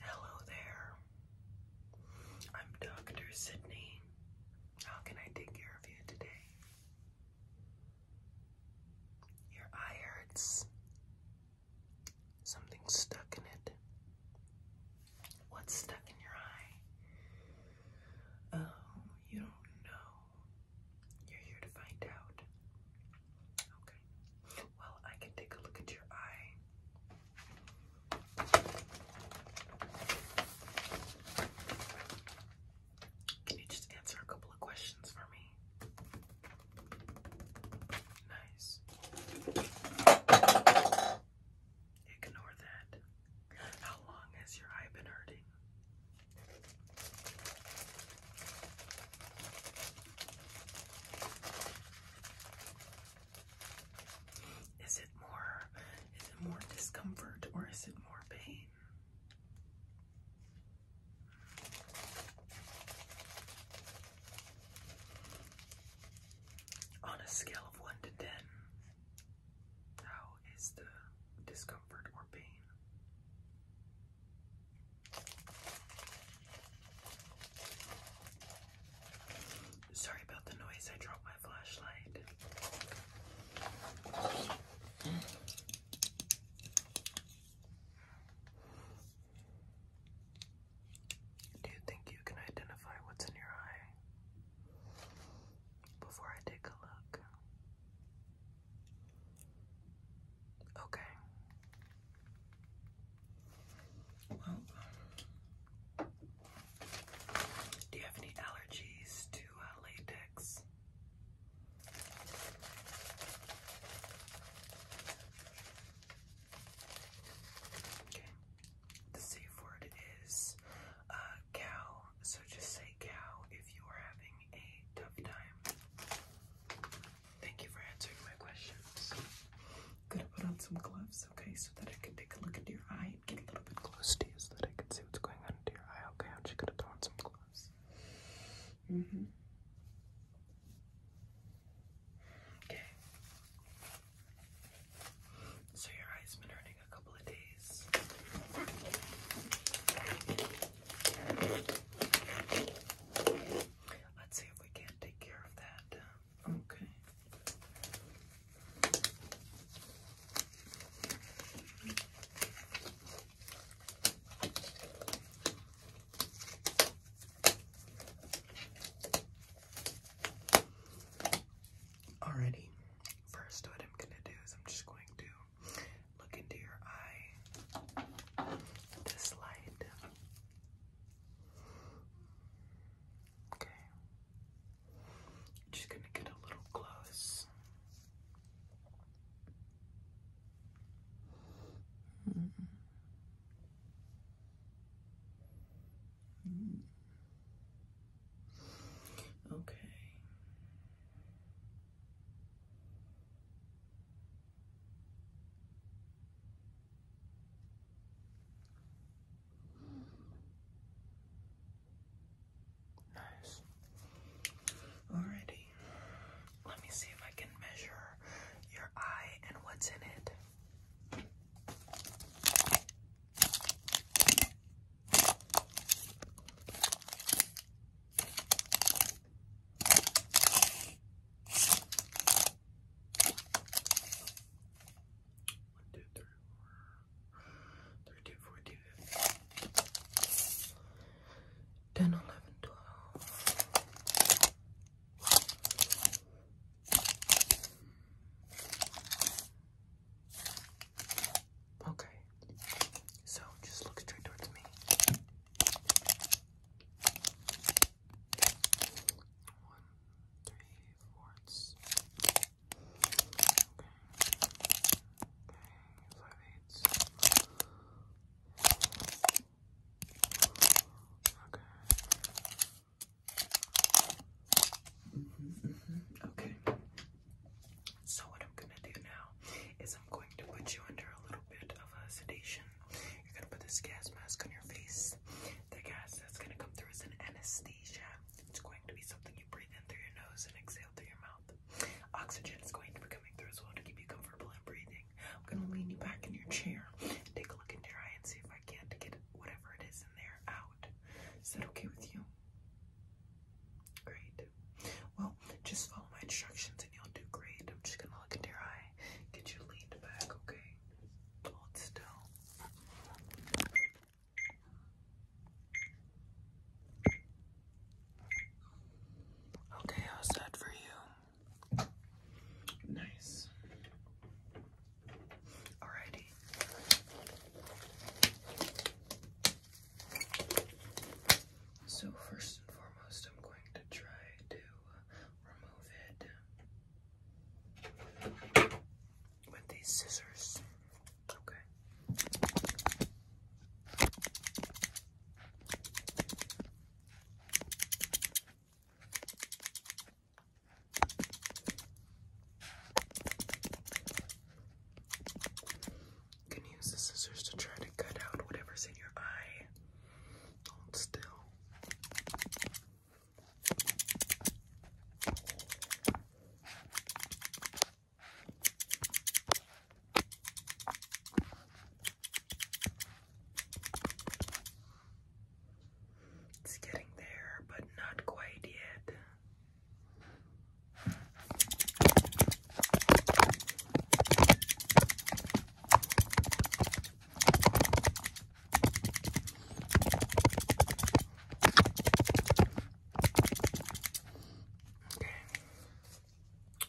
Hello there. I'm Dr. Sydney. How can I take care of you today? Your eye hurts. Something's stuck in it. What's stuck in your eye? Oh, you don't know. You're here to find out. Okay. Well, I can take a look at your eye. Can you just answer a couple of questions for me? Nice. Ignore that. How long has your eye been hurting? Is it more is it more discomfort or is it more pain? On a scale of 1 to 10, how is the discomfort or pain? Sorry about the noise, I dropped my flashlight. Do you think you can identify what's in your eye before I take a look? Okay. Well, do you have any allergies to uh, latex? Okay. The safe word is uh, cow, so just say cow if you are having a tough time. Thank you for answering my questions. Gonna put on some gloves, okay, so that I can take a look into your eye and get a little bit close to you so that I can see what's going on into your eye, okay? I'm just gonna throw on some gloves. hmm Okay. So your eye been hurting a couple of days. Let's see if we can't take care of that. Okay. Alrighty. First, what I'm gonna do is I'm just going to look into your eye. This light, Okay. Just gonna get a little close. Mm -mm. Okay. Nice. Alrighty. Let me see if I can measure your eye and what's in it. One, two, three, four, three, two, four, two, five. Ten, eleven, twelve. Okay, so just look straight towards me. One, three fourths. Okay. Okay, five eighths. Okay. -hmm. Okay. So what I'm gonna do now is I'm going to put you under a little bit of a sedation. You're gonna put this gas mask on your face. The gas that's gonna come through is an anesthesia. It's going to be something you breathe in through your nose and exhale through your mouth. Oxygen is going to be coming through as well to keep you comfortable in breathing. I'm gonna lean you back in your chair, take a look in your eye, and see if I can't get whatever it is in there out. Is that okay with you? Great. Well, just follow my instructions and you'll do great. I'm just gonna look into your eye okay? you leaned back, okay? Hold still. Okay, how's that for you? Nice. Alrighty. So, first and foremost, I'm going to try to uh, remove it with these scissors. Okay. You can use the scissors to try to cut out whatever's in your eye. Hold It's getting there, but not quite yet. Okay.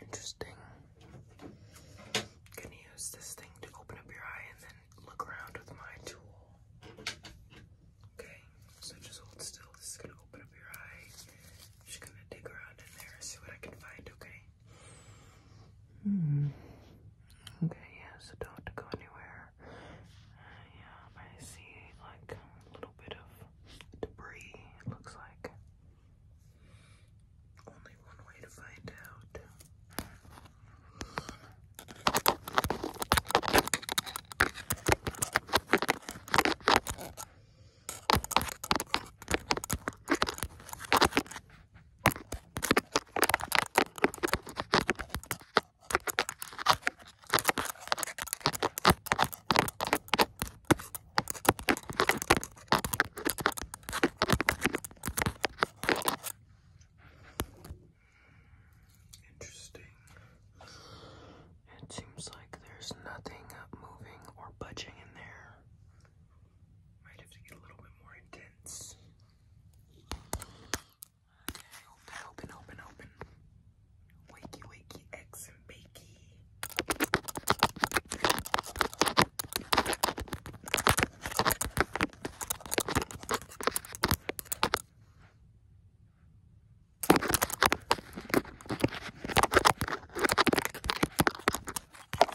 Interesting. Can you use this thing to open up your eye and then look around with my tool? Okay, so just hold still. This is gonna open up your eye. just gonna dig around in there, see what I can find, okay? Hmm. Okay, yeah, so don't go anywhere. Uh, yeah, I see like a little bit of debris, it looks like. Only one way to find out. Interesting. It seems like there's nothing moving or budging in there. Might have to get a little bit more intense. open, open, open, open. Wakey, wakey, eggs and Darn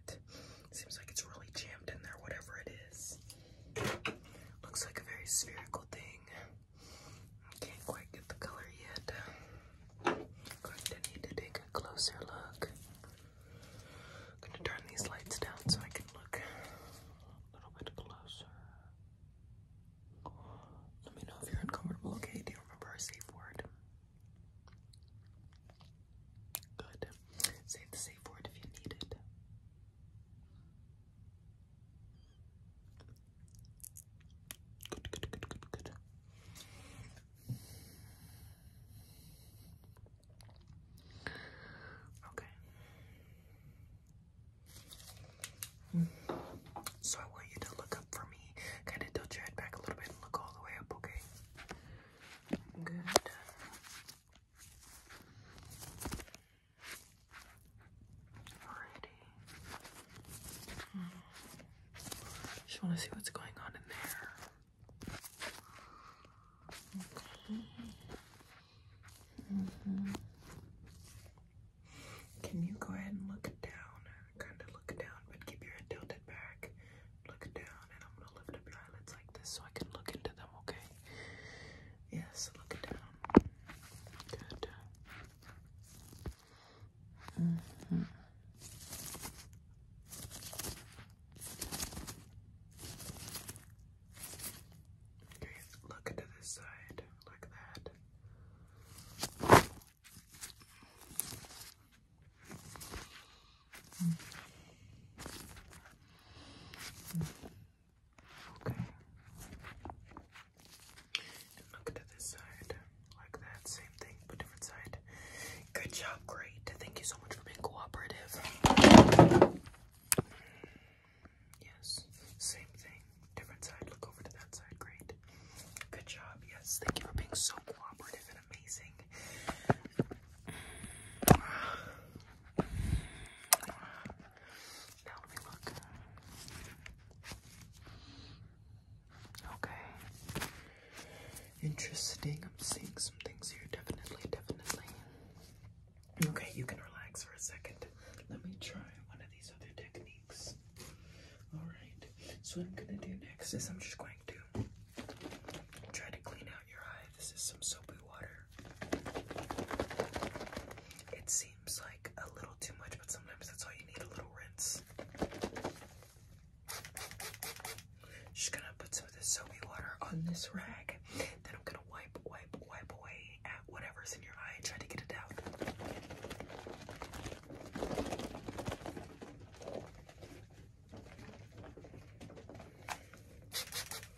it. Seems like it's really jammed in there, whatever it is. Looks like a very spherical thing. I can't quite get the color yet. Going to need to take a closer look. I'm going to turn these lights down so I can look a little bit closer. Let me know if you're uncomfortable. Okay, do you remember our safe word? Good. Say the safe word if you need it. Good, good, good, good, good. Okay. Mm. So I want you to look up for me. Kind of tilt your head back a little bit and look all the way up, okay? Good. Alrighty. Hmm. Just want to see what's going on in there. Okay. Mm-hmm. Can you go ahead and look down? Kind of look down, but keep your head tilted back. Look down, and I'm gonna lift up your eyelids like this so I can look into them. Okay. Yes, look down. Good. Mm Okay, look into this side like that. Okay. look at this side. Like that, same thing, but different side. Good job, great. Thank you so much for being cooperative. Yes, same thing, different side. Look over to that side, great. Good job, yes. Thank you for being so cooperative and amazing let me look. Okay. Interesting. I'm seeing some things here. Definitely, definitely. Okay, you can relax for a second. Let me try one of these other techniques. Alright. So what I'm gonna do next is I'm just going to try to clean out your eye. This is some soapy water. It seems like a little too much, but sometimes that's all you need, a little rinse. Just gonna put some of this soapy water on this rag. Then I'm gonna wipe, wipe, wipe away at whatever's in your eye try to get it out.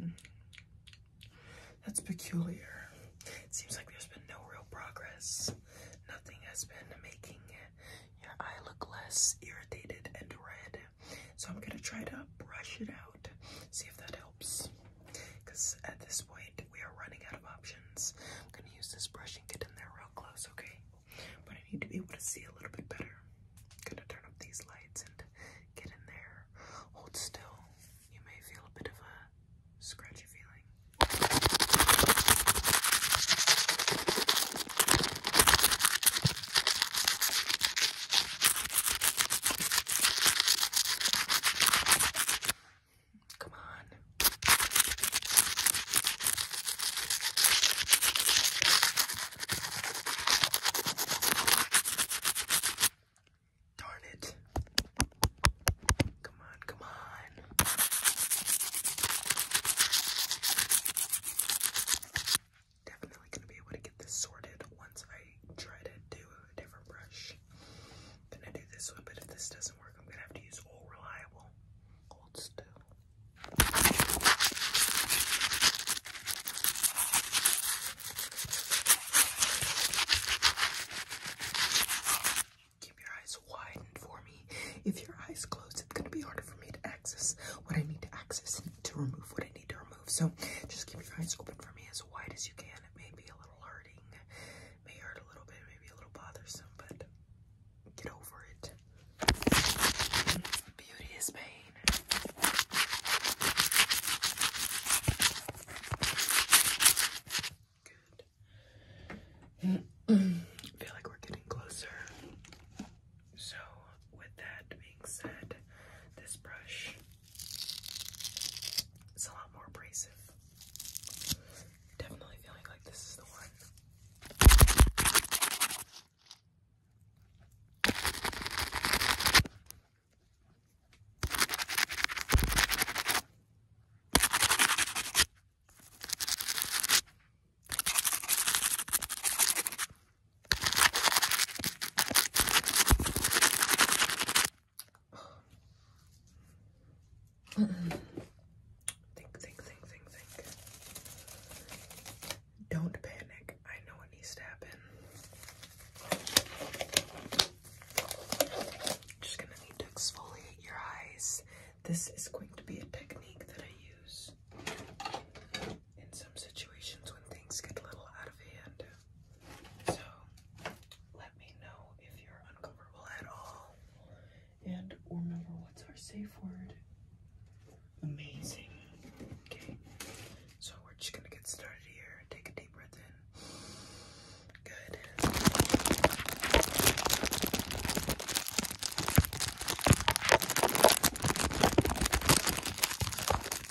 Hmm. That's peculiar. It seems like there's been no real progress. Nothing has been making your eye look less irritated and red. So I'm going to try to brush it out, see if that helps. Because at this point, we are running out of options. I'm going to use this brush and get in there real close, okay? But I need to be able to see a little bit better. I'm going to turn up these lights and get in there. Hold still. You may feel a bit of a scratchy feeling. Come on. Darn it. Come on, come on. Definitely gonna be able to get this sorted once I try to do different brush. I'm gonna do this one, but if this doesn't work, I'm gonna have to use Old Reliable. Hold still. Keep your eyes widened for me. If your eyes close, it's gonna be harder for me to access what I need to access to remove what I need to remove. So just keep your eyes open for me as wide as you can may be a little hurting, may hurt a little bit, maybe a little bothersome, but get over it. Beauty is pain. Good. I feel like we're getting closer. So, with that being said, this brush it's a lot more abrasive. Definitely feeling like this is the one think, think, think, think, think. Don't panic. I know what needs to happen. Just gonna need to exfoliate your eyes. This is going to be a technique that I use in some situations when things get a little out of hand. So let me know if you're uncomfortable at all. And remember, what's our safe word? Amazing. Okay. So we're just gonna get started here. Take a deep breath in. Good.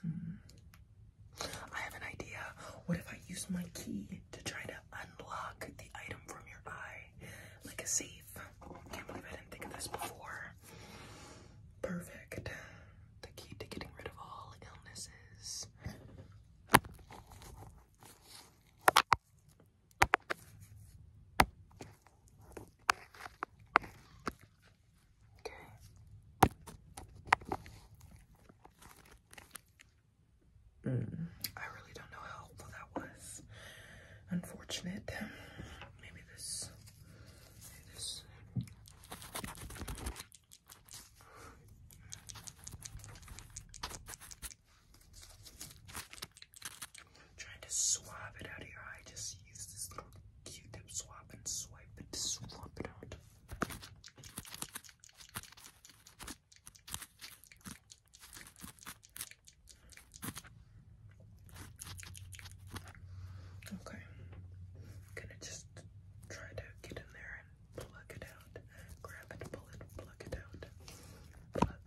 Hmm. I have an idea. What if I use my key to try to unlock the item from your eye? Like a safe. Can't believe I didn't think of this before. Perfect. The key to getting rid of all illnesses. Mm. I really don't know how helpful that was. Unfortunate. Maybe this. Maybe this trying to swab it out of your eye. Just use this little Q-tip swab and swipe it to swap it out. Okay, gonna just try to get in there and pluck it out. Grab it, pull it, pluck it out. Pluck,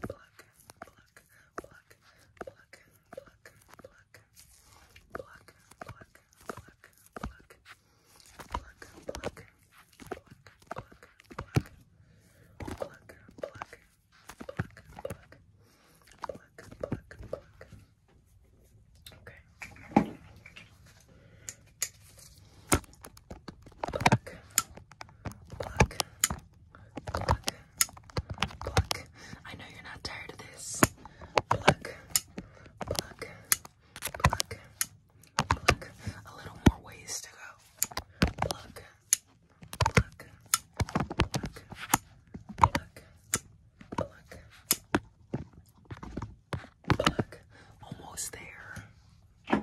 pluck, pluck, pluck, pluck, pluck, pluck, pluck, pluck, pluck, pluck, pluck, pluck, pluck, pluck, pluck, pluck, pluck, pluck. Pluck, pluck, pluck. Okay. Pluck, pluck, pluck, Pluck. Pluck. I know you're not tired of this. Pluck. Pluck. Pluck. Pluck. A little more ways to go. Pluck. Pluck. Pluck. Pluck. Pluck. Pluck. Almost there.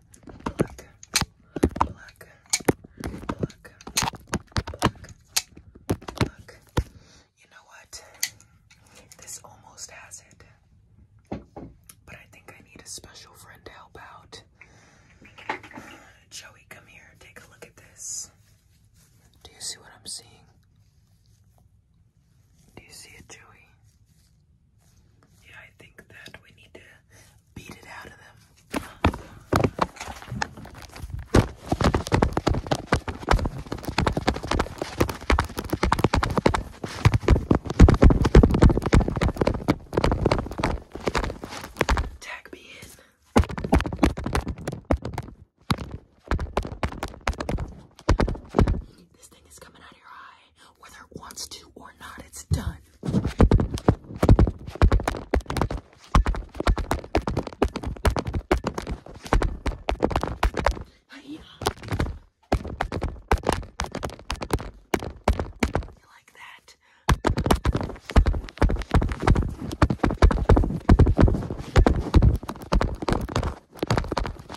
You know what? This almost has it. But I think I need a special friend to help out. Joey, come here. Take a look at this. Do you see what I'm seeing? Do you see it, Joey? Yeah, I think that we need to beat it out of them. Tag me in. This thing is coming out of your eye whether it wants to or not, it's done. You like that?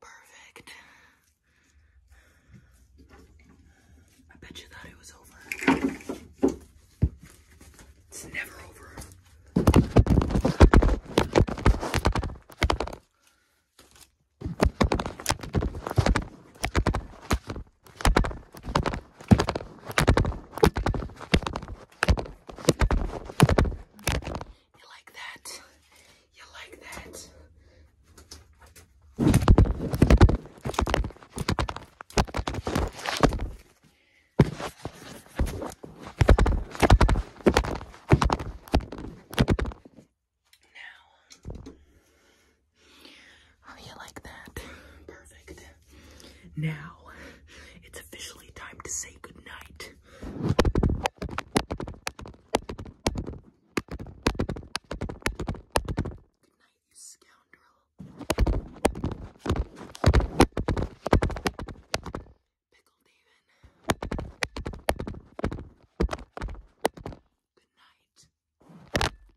Perfect. I bet you thought it was over. It's never over. You like that? You like that? Now, Oh, you like that? Perfect. Now, it's officially time to say goodnight. Good night, scoundrel. Pickle David. Good night.